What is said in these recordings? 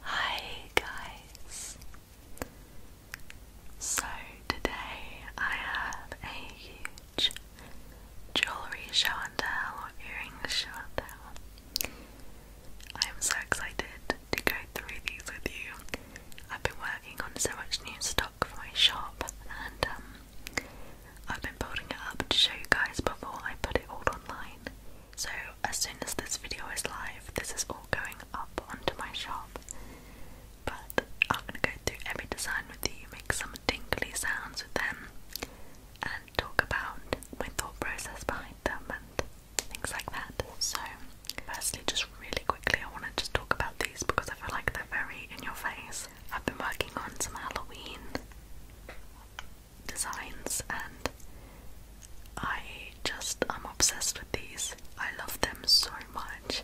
Hi guys! So today I have a huge jewellery show and tell or earrings show and tell. I am so excited to go through these with you. I've been working on so much new stock for my shop and um, I've been building it up to show you guys before I put it all online. So, as soon as this video is live, this is all going up onto my shop. But I'm gonna go through every design with you, make some tingly sounds with them, and talk about my thought process behind them and things like that. So, firstly, just really quickly, I want to just talk about these because I feel like they're very in your face. I've been working on some Halloween designs and I just I'm obsessed with these. I love them so much.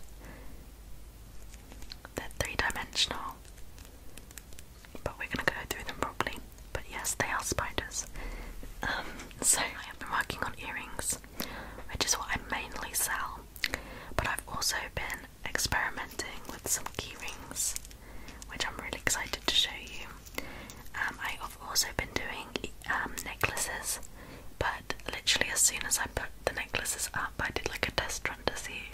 They're three-dimensional. But we're gonna go through them properly. But yes, they are spiders. Um, so I have been working on earrings, which is what I mainly sell. But I've also been experimenting with some key rings which I'm really excited to show you. Um, I have also been doing um, necklaces, but literally as soon as I put the necklaces up, I did like a test run to see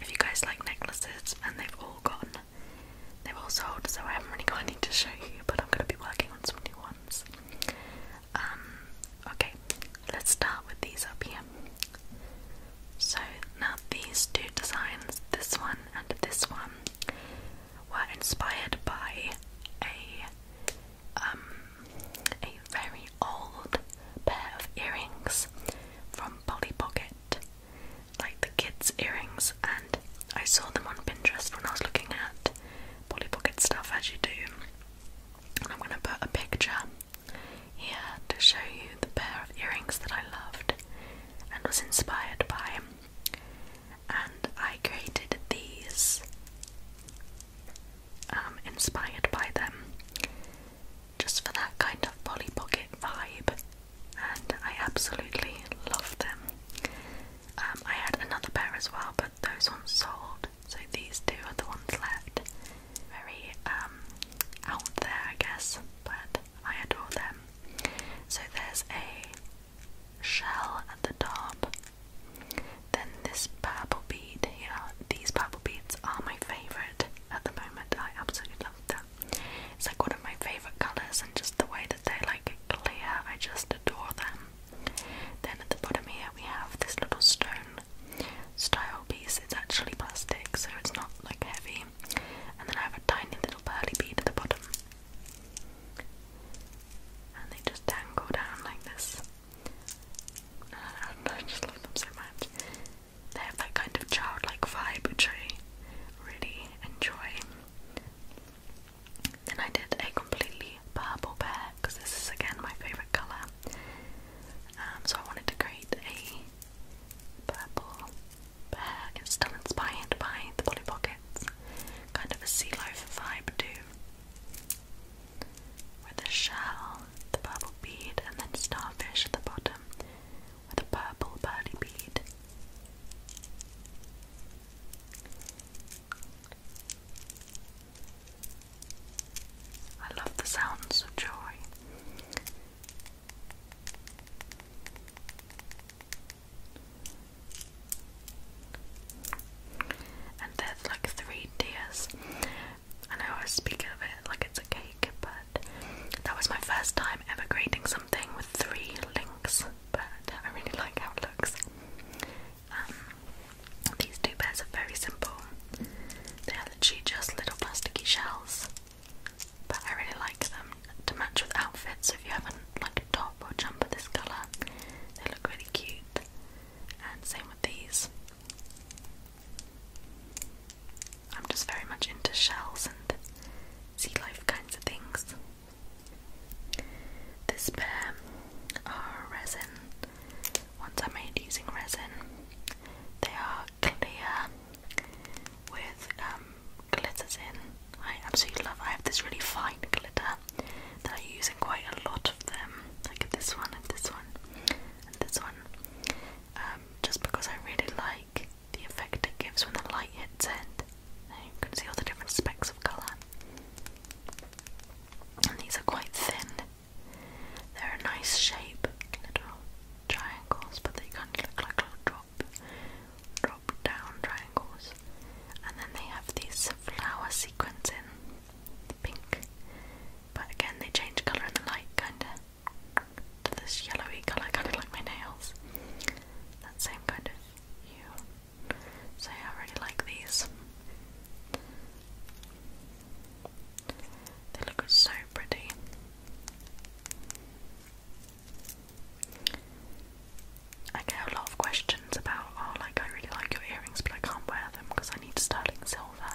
if you guys like necklaces, and they've all gone. They've all sold, so I haven't really got anything to show you, but I'm going to be working on some new ones. Um, okay, let's start with these up here. So now these two designs, this one and this one, um, were inspired by a um, a very old pair of earrings from Polly Pocket, like the kids' earrings, and I saw them on Pinterest when I was looking at Polly Pocket stuff as you do. I'm going to put a picture here to show you the pair of earrings that I loved and was inspired by and I created these um, inspired by them just for that kind of Polly Pocket vibe, and I absolutely love them. Um, I had another pair as well, but those ones sold, so these two are the ones left. Very um, out there, I guess, but I adore them. So there's a shell at the top. Then this purple bead here. These purple beads are my favourite at the moment. I absolutely love them. It's like one of my favourite colours and just the way that they like clear. I just adore them. Then at the bottom here we have this little stone style piece. It's actually plastic so it's not like heavy and then I have a tiny little pearly bead at the bottom. And they just dangle down like this. I just love them so much. They have that kind of childlike vibe which I really enjoy. Then I did a completely purple pair because this is again my favourite colour. Um, so I wanted to create a purple bear is still inspired by the Polly Kind of a sea life vibe too. With a shell, the purple bead, and then starfish at the bottom with a purple pearly bead. I love the sounds of joy. And there's like three tiers. I know I speak of it like it's a cake, but that was my first time ever creating something with three links. But I really like how it looks. Um, these two bears are very simple. They are literally just little plasticky shells but I really like them to match with outfits. So if you have like a top or jumper this colour, they look really cute. And same with these. I'm just very much into shells and sea life kinds of things. This pair are resin. Ones I made using resin. They are clear with um, glitters in. I absolutely love. I have this really fine glitter that I use in quite a lot of them. Like this one, and this one, and this one. Um, just because I really like the effect it gives when the light hits it. Now you can see all the different specks of colour. And these are quite thin. They're a nice shape, little triangles, but they kind of look like little drop, down triangles, and then they have these flower sequins in pink. But again, they change colour in the light, kinda to this yellowy colour, kind of like my nails. That same kind of hue. So yeah, I really like these. They look so pretty. I get a lot of questions about, oh, like, I really like your earrings, but I can't wear them because I need sterling silver.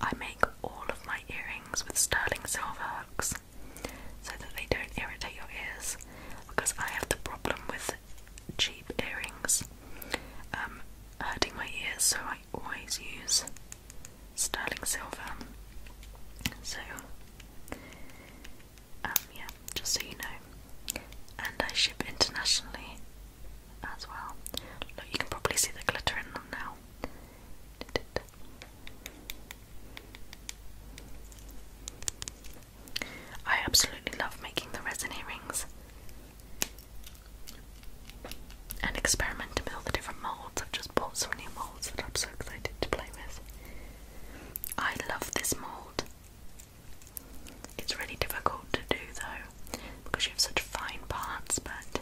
I make all of my earrings with sterling silver hooks so that they don't irritate your ears because I have the problem with cheap earrings um, hurting my ears, so I always use sterling silver. So, um, yeah, just so you know. And I ship internationally as well. Look, you can probably see the glitter in them now. I absolutely love making the resin earrings and experimenting with the different molds. I've just just bought molds that I'm so excited to play with. I love this mold. It's really difficult to do though because you have such fine parts, but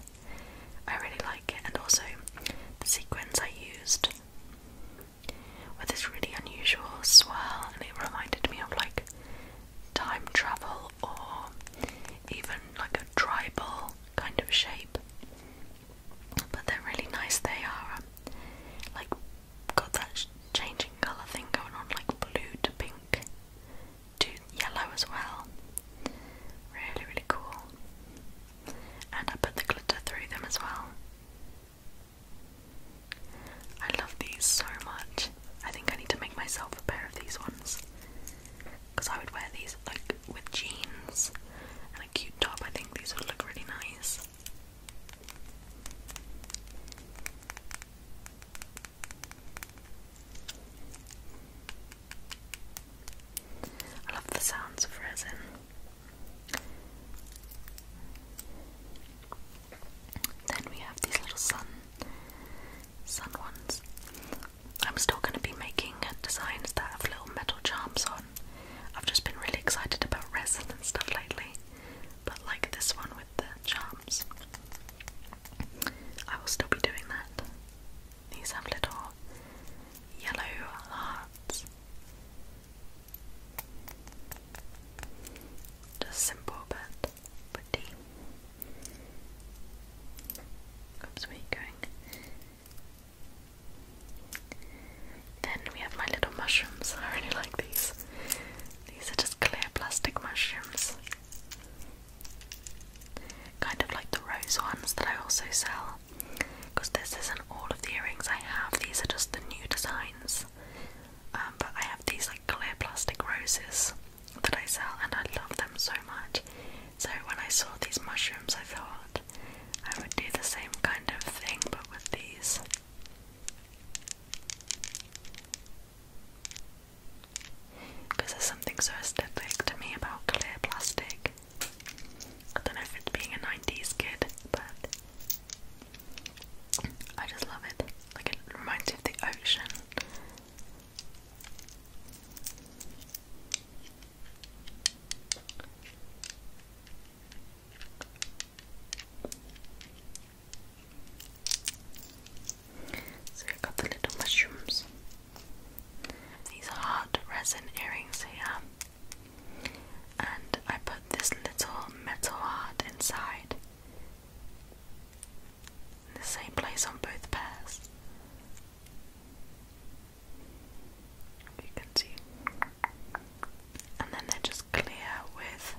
I really like it. And also, the sequins I used with this really unusual swirl, and it reminded me of like time travel or even like a tribal kind of shape but they're really nice. They are um, like got that changing colour thing going on, like blue to pink to yellow as well. Really, really cool. And I put the glitter through them as well. I love these so much. I think I need to make myself a pair of these ones because I would wear these like with jeans and a cute top. I think these would look really nice. I love the sounds of resin. Then we have these little sun sun ones. I'm still going to be making designs that have little metal charms on. I've just been really excited about resin and stuff lately, but like this one with the charms, I will still be doing that. These have little yellow hearts. Just simple but pretty. where are you going? Then we have my little mushrooms. I really like these. These are just clear plastic mushrooms. Kind of like the rose ones that I also sell. Because this isn't all of the earrings I have, these are just the new designs. Um, but I have these like clear plastic roses that I sell and I love them so much. So when I saw these mushrooms, I thought I would do the same kind of thing but with these. Because there's something so aesthetic to me about clear plastic. I don't know if it's being a 90s kid, but I just love it. Like it reminds me of the ocean. So we got the little mushrooms. These are hard resin earrings here. And I put this little metal heart inside in the same place on both pairs. You can see. And then they're just clear with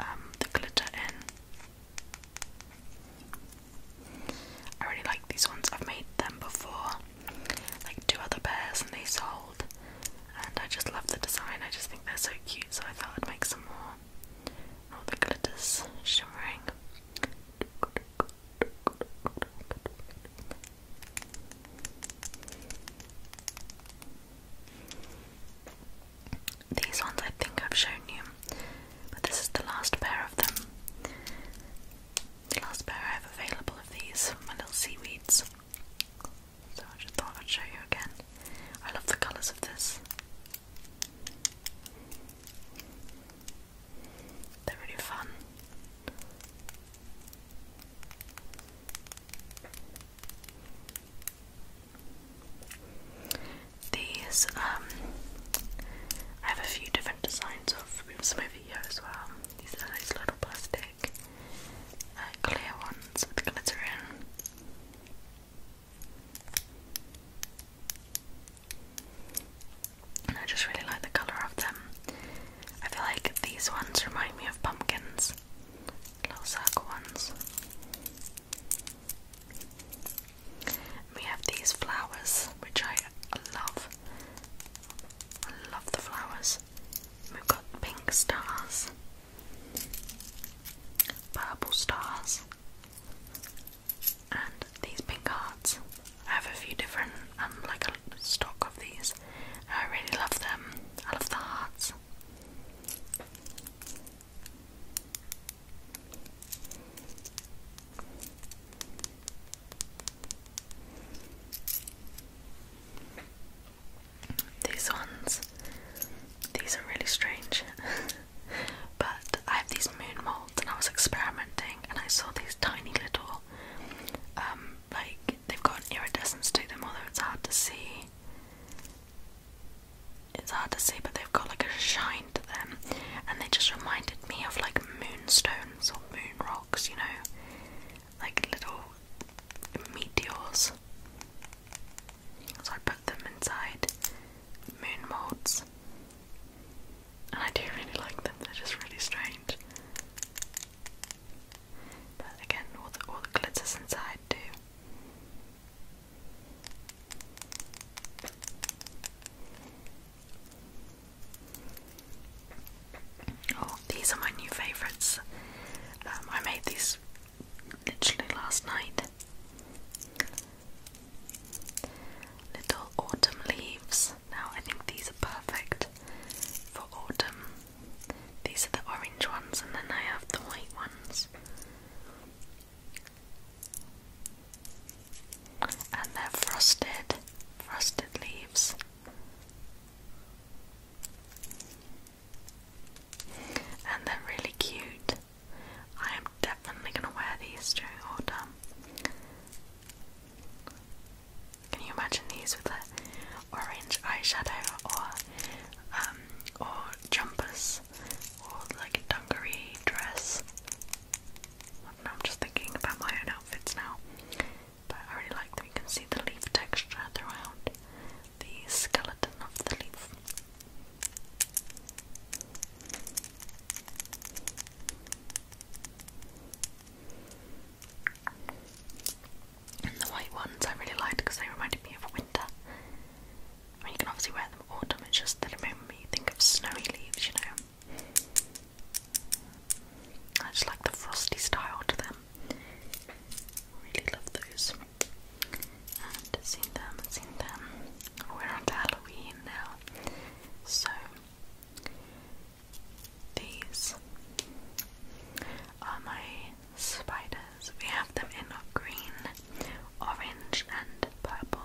um, the glitter in. I really like these ones. I've made them before, like two other pairs, and they sold. And I just love the design. I just think they're so cute. So I thought I'd make some more. All oh, the glitters shimmering. These ones I think I've shown you, but this is the last pair of them. The last pair I have available of these, my little seaweeds. So I just thought I'd show you again. I love the colours of this. They're really fun. These, um, I have a few different designs of. some over here as well. These are these little plastic uh, clear ones with glitter in. I just really like the colour of them. I feel like these ones remind me of pumpkins, little circle ones. We have these flowers, which I love. I love the flowers. We've got pink stars, purple stars, and these pink hearts. I have a few different, um, like a stock of these. I really love them. I love the hearts. These ones, these are really strange. but I have these moon molds and I was experimenting and I saw these tiny little um like they've got iridescence to them although it's hard to see it's hard to see but they've got like a shine to them and they just reminded me of like moonstones or moon rocks you know like little meteors so I put them inside moon molds and I do really like them, they're just really strange. But again, all the, glitters inside too. Oh, these are my new favourites. Um, I made these literally last night. Little autumn leaves. Now I think these are perfect for autumn. These are the orange ones, and then I have the white ones. And they're frosted, frosted leaves. And they're really cute. I am definitely gonna wear these during autumn. Can you imagine these with a orange eyeshadow or um or jumpers or like a dungaree dress? I am just thinking about my own outfits now. But I really like that you can see the leaf texture throughout the skeleton of the leaf the white ones I really liked because they reminded me of winter. I you can obviously wear them autumn, it's just that it made me think of snowy leaves, you know. I just like the frosty style to them. Really love those and seen them, seen them. We're on Halloween now, so these are my spiders. We have them in green, orange, and purple.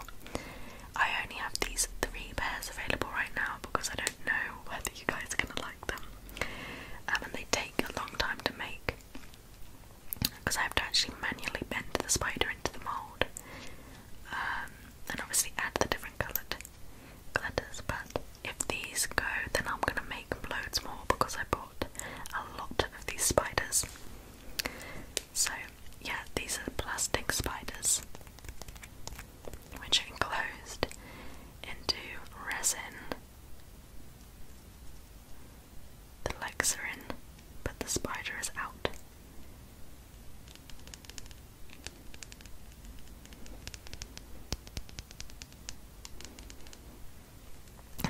I only have these three pairs available right now because I don't know whether you guys are gonna like them, um, and they take a long time to make because I have to actually manually bend the spider into the mould um, and obviously add the different coloured glitters but if these go then I'm going to make loads more because I bought a lot of these spiders so yeah these are plastic spiders which are enclosed into resin the legs are in, but the spider is out.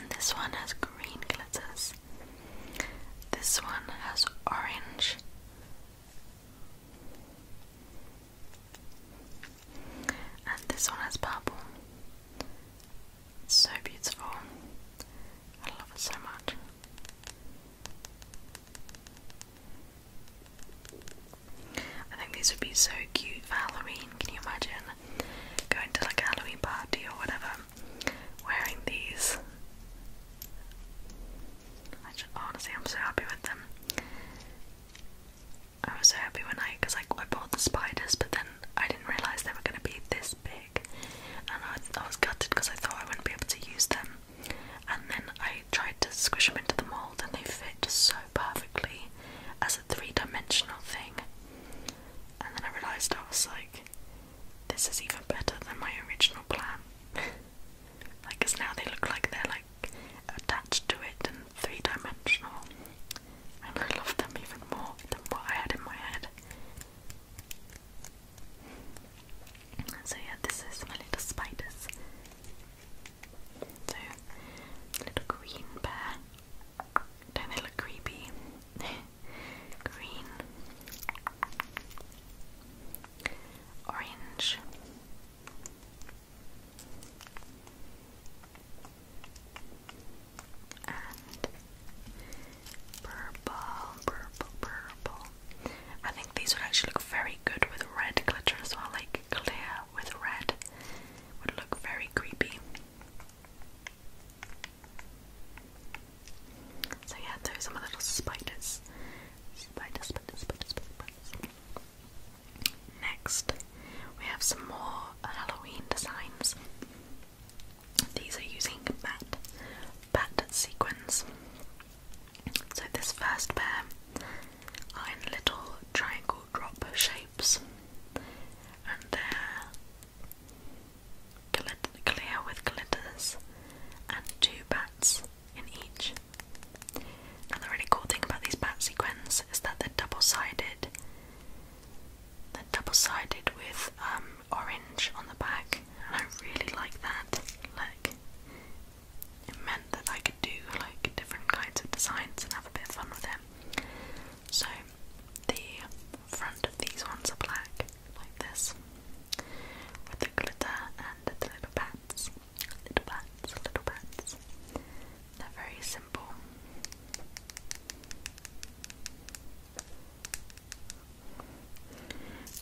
this one has green glitters. This one has orange. And this one has purple. so beautiful. I love it so much. I think these would be so cute for Halloween. Can you imagine going to like a Halloween party or whatever wearing these? I honestly, I'm so happy with them. I was so happy when I, like I bought the spiders, but then I didn't realise they were going to be this big, and I, was gutted because I thought I wouldn't be able to use them. And then I tried to squish them into the mould, and they fit so perfectly as a three dimensional thing. And then I realised I was like, this is even better than my original plan. like, because now they look like they're like attached to it and three dimensional. And I love them even more than what I had in my head. So yeah, this is my little spiders. So, little green bear. Don't creepy? green. Orange and purple, purple, purple. I think these would actually look very good with red glitter as well, like clear with red would look very creepy. So yeah, those are my little spiders. Spider, spider, spider, spiders. Next, we have some more Halloween designs. These are using bat, bat sequins. So this first pair are in little triangle drop shapes, and they're clear with glitters and two bats in each. Now the really cool thing about these bat sequins is that they're double-sided they're double-sided with um, orange on the back, and I really like that look. It meant that I could do like different kinds of designs and have a bit of fun with it. So the front of these ones are black, like this, with the glitter and the little bats, little bats, little bats. They're very simple.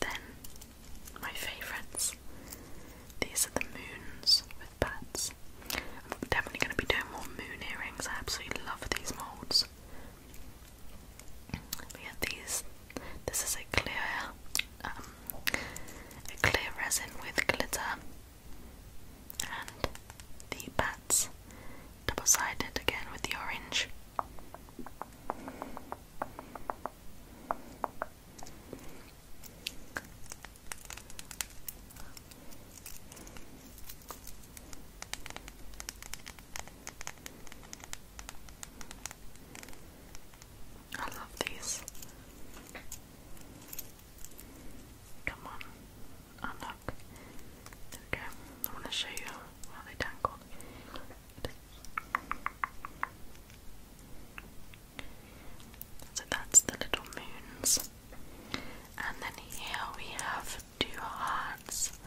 Then, my favourites. These are the moons with bats. i definitely going to be doing more moon earrings. I absolutely love these moulds. yeah, these. This is a clear, um, a clear resin with glitter, and the bats double-sided again with the orange. I love these. Come on. Oh no, stuck. I want to show you how they tangled. So that's the little moons. And then here we have two hearts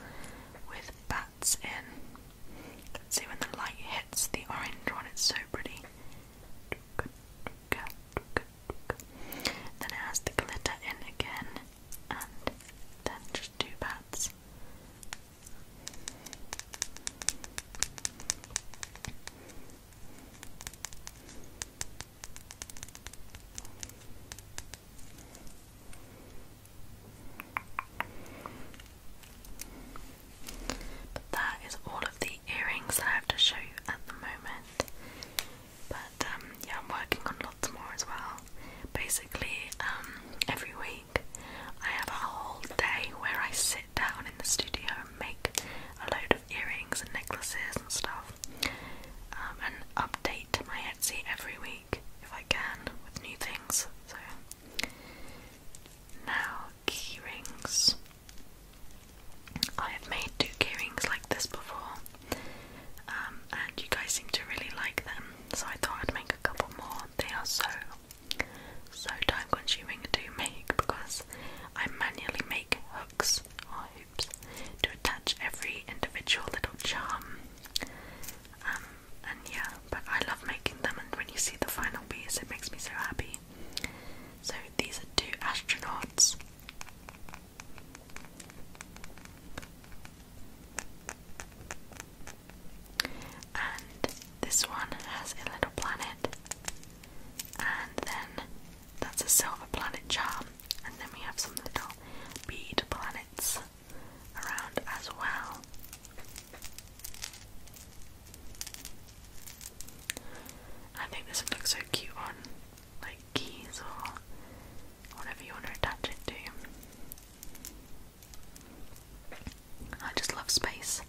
with bats in. See when the light hits the orange one, it's so pretty. Then it has the glitter in again, and then just two pats. But that is all of the earrings that I have to show you at the moment. But um, yeah, I'm working on lots more as well. Basically, um, every week I have a whole day where I sit down in the studio and make a load of earrings and necklaces and stuff, um, and update my Etsy every week if I can with new things. So now key rings. I have made two key rings like this before, um, and you guys seem to really like them, so I thought I'd make a couple more. They are so so time consuming to make because I manually make hooks or hoops to attach every individual little charm. Um, and yeah, but I love making them, and when you see the final piece, it makes me so happy. So these are two astronauts. And this one has a little planet, and then that's a silver planet charm, and then we have some little bead planets around as well. I think this would look so cute on like keys or whatever you want to attach it to. I just love space,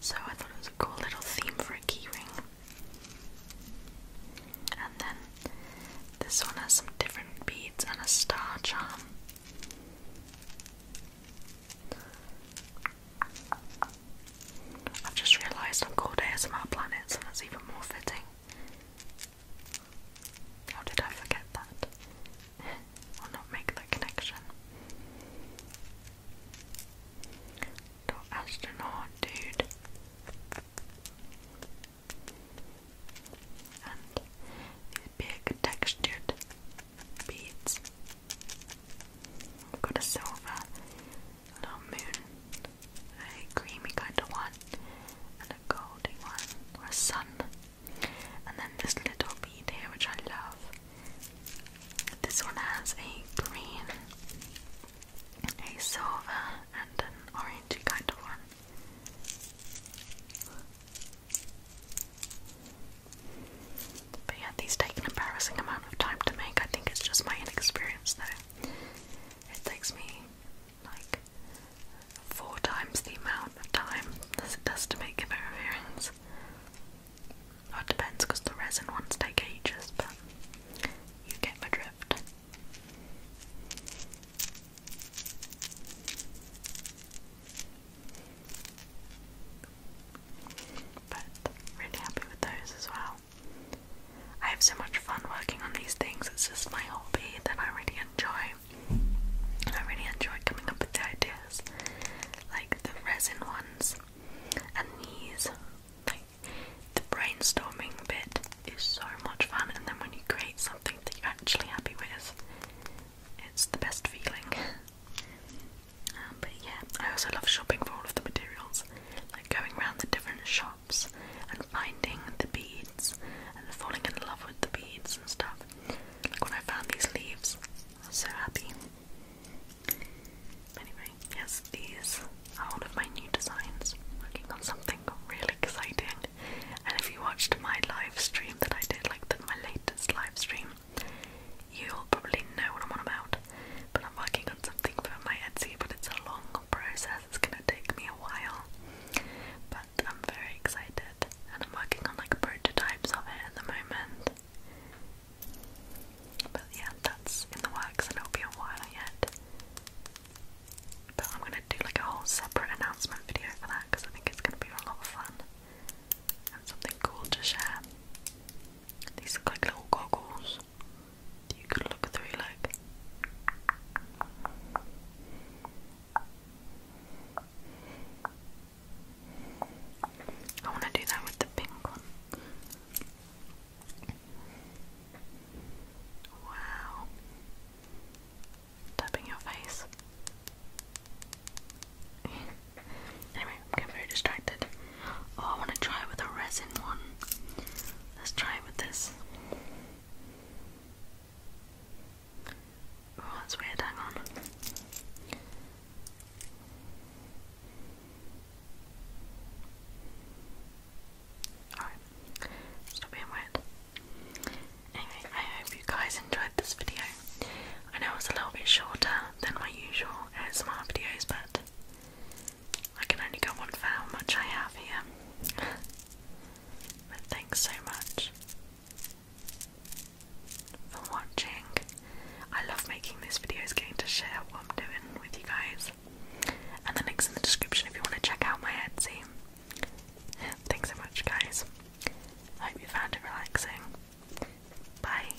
so I thought it was a cool little theme for a keyring. And then this one has some different beads and a star charm. I've just realised I'm called ASMR Planets, and that's even more fitting. How did I forget that? or not make that connection? Dot astronaut, dude. And these big textured beads. We've got a silver, little moon, a creamy kind of one, and a golden one, or a sun. And then this little bead here, which I love. This one has a green, a silver, and an orangey kind of one. But yeah, these take an embarrassing amount of time to make. I think it's just my inexperience though. It takes me like four times the amount of time as it does to make a pair of earrings. it depends because the resin ones take ages, but you get my drift. But really happy with those as well. I have so much fun working on these things, it's just my hobby that I really enjoy. And I really enjoy coming up with the ideas, like the resin ones and these. Like, the brainstorming bit is so much fun, and then when you create something that you're actually happy with, it's the best feeling. Um, but yeah, I also love shopping for all of the materials, like going around the different shops and finding the beads and falling in love with the beads and stuff. Like when I found these leaves, I was so happy. Anyway, yes, these are all of my new designs. Working on something really exciting. And if you watched my live stream that I did, like my latest live stream, you'll probably know what I'm on about. But I'm working on something for my Etsy, but it's a long process. It's gonna take me a while, but I'm very excited, and I'm working on like prototypes of it at the moment. But yeah, that's in the works, and I will be a while yet. But I'm gonna do like a whole separate announcement video for that because I think it's gonna be a lot of fun and something cool to share. These are like little goggles you could look through like I want to do that with the pink one. Wow. Tapping your face. anyway, I'm getting very distracted. Oh, I want to try it with a resin one. Let's try it with this. Oh, that's weird. Hang on. Alright, stop being weird. Anyway, I hope you guys enjoyed this video. I know it's a little bit shorter than my usual ASMR videos, but I can only go on for how much I have here. but thanks so much for watching. I love making these videos, getting to share what I'm doing with you guys. And the link's in the description if you want to check out my Etsy. Thanks so much, guys. hope you found it relaxing. Bye.